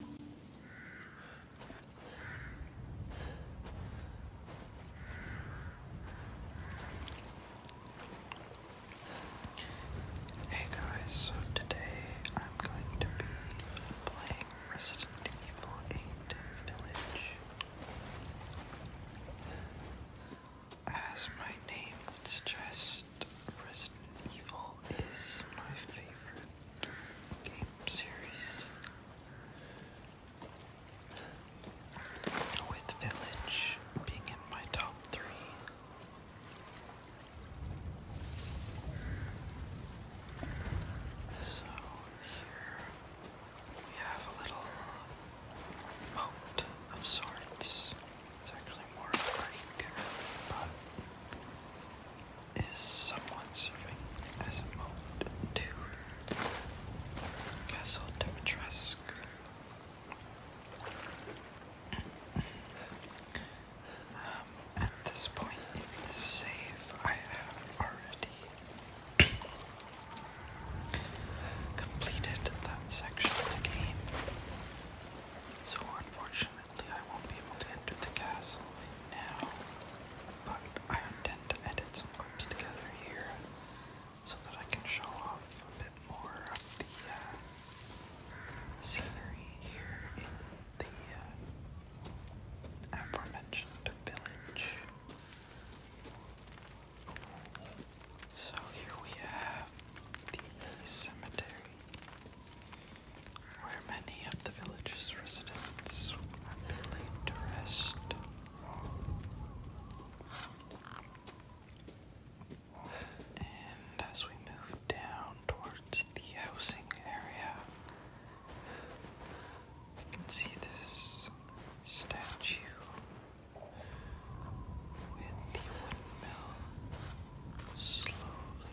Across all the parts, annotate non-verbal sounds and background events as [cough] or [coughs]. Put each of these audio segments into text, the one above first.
Hey guys, so today I'm going to be playing Resident Evil 8 Village. As my name would suggest, Resident Evil is my favorite game series. With Village being in my top three. So here we have a little moat of sorts. It's actually more of a creek, but is someone serving as a moat to Castle Demetresk. Um, at this point in save, I have already completed that section of the game. So, unfortunately, Unfortunately, I won't be able to enter the castle now, but I intend to edit some clips together here so that I can show off a bit more of the uh, scenery here in the uh, aforementioned village. So here we have the cemetery where many of the village's residents are laid to rest. And as we move down towards the housing area, we can see this statue with the windmill slowly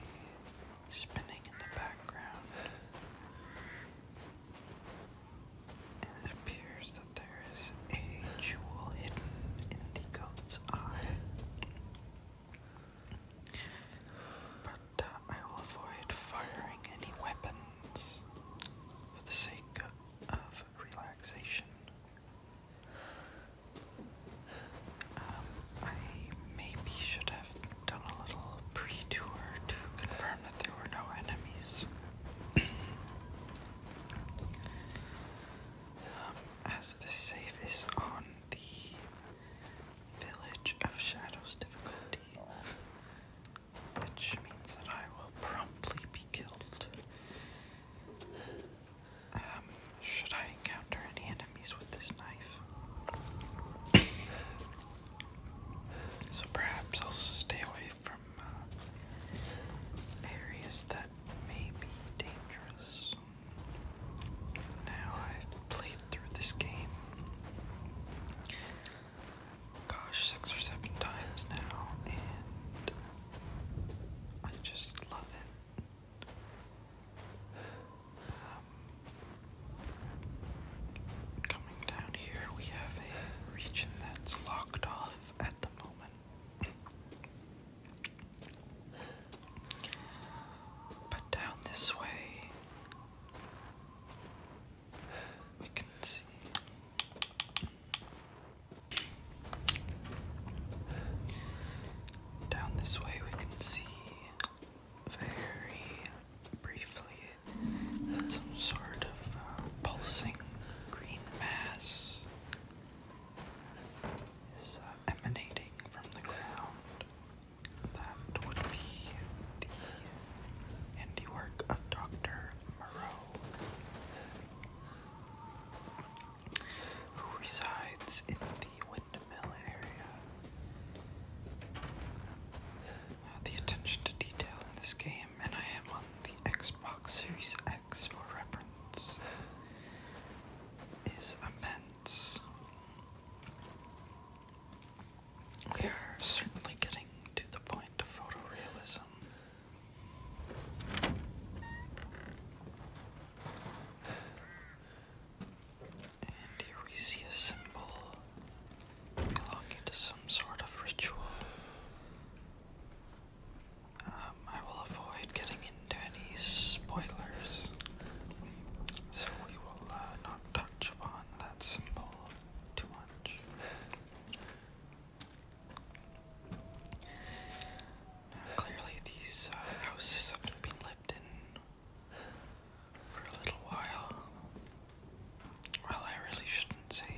spinning in the background. it appears that there is a jewel hidden in the goat's eye. But uh, I will avoid firing any weapons for the sake of relaxation. Um, I maybe should have done a little pre tour to confirm that there were no enemies. Um, as this save is on the Village of Shadows difficulty, which means that I will promptly be killed. Um, should I encounter any enemies with this knife? [coughs] so perhaps I'll stay away from uh, areas that may be dangerous. Now I've played through this game. Gosh, six or seven times now, and I just love it. Coming down here, we have a region that's locked off at the moment. But down this way, we can see. Down this way, we can see very briefly some sort of uh, pulsing green mass is uh, emanating from the ground. That would be the handiwork of Dr. Moreau, who resides in the the attention to detail in this game, and I am on the Xbox Series X for reference, is immense. We are certainly getting to the point of photorealism. And here we see a symbol belonging to some sort of ritual. Um, I will avoid getting into any spoilers, so we will uh, not touch upon that symbol too much. clearly, these uh, houses haven't been for a little while. Well, I really shouldn't say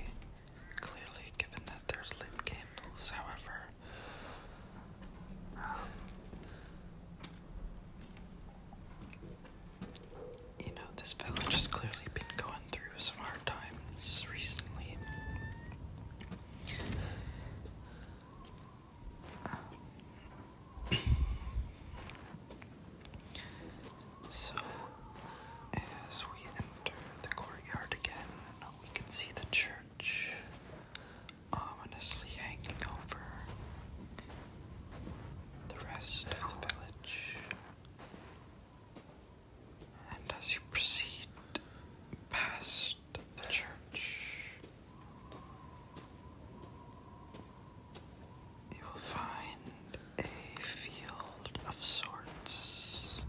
clearly, given that there's lit candles, however. Um, you know, this village has clearly been going through some hard times recently. So, as we enter the courtyard again, we can see the church ominously hanging over the rest of the village. And as you proceed past the church, you will find a field of sorts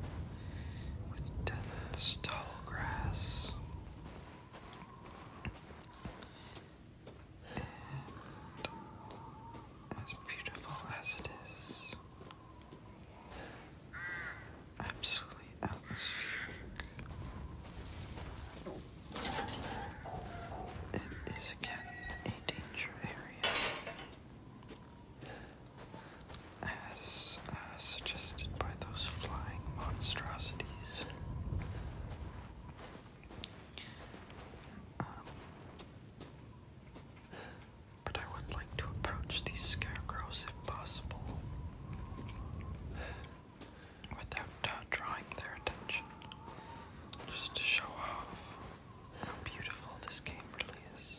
with dense tall grass and as beautiful as it is absolutely atmospheric. It is again a danger area. As uh, suggested by those flying monstrosities. Um, but I would like to approach these scarecrows if possible without uh, drawing their attention. Just to show off how beautiful this game really is.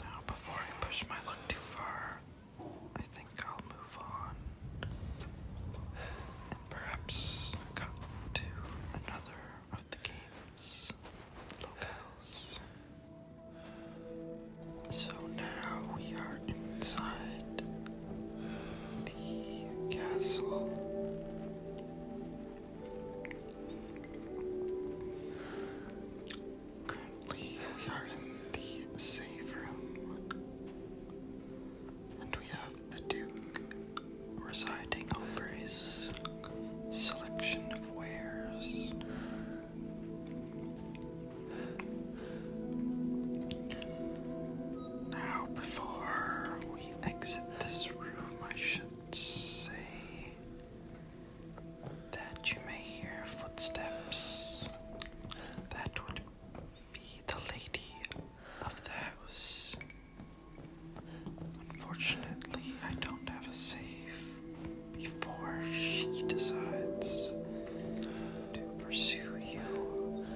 Now, before I push my luck too far, I think I'll move on perhaps come to another of the game's locales. So now we are inside the castle. Currently, we are in the safe room. And we have the Duke residing over his selection of wares. Now, before we exit this room, I should say that you may hear footsteps. That would be the lady of the house. Unfortunately, I don't have a safe. before she decides to pursue you,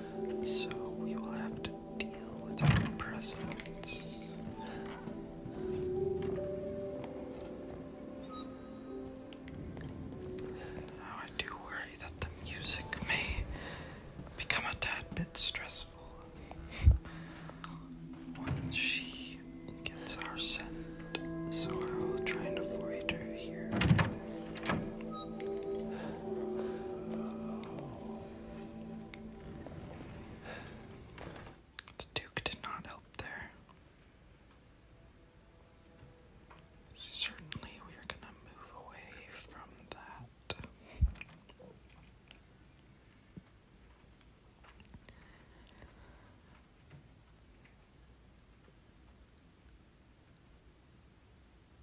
so we will have to deal with her presence. Now I do worry that the music may become a tad bit stressful once she gets our scent, so I will try and avoid her here. The Duke did not help there. Certainly, we are going to move away from that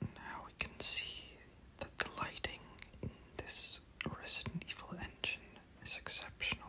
now we can see that the lighting in this Resident Evil engine is exceptional.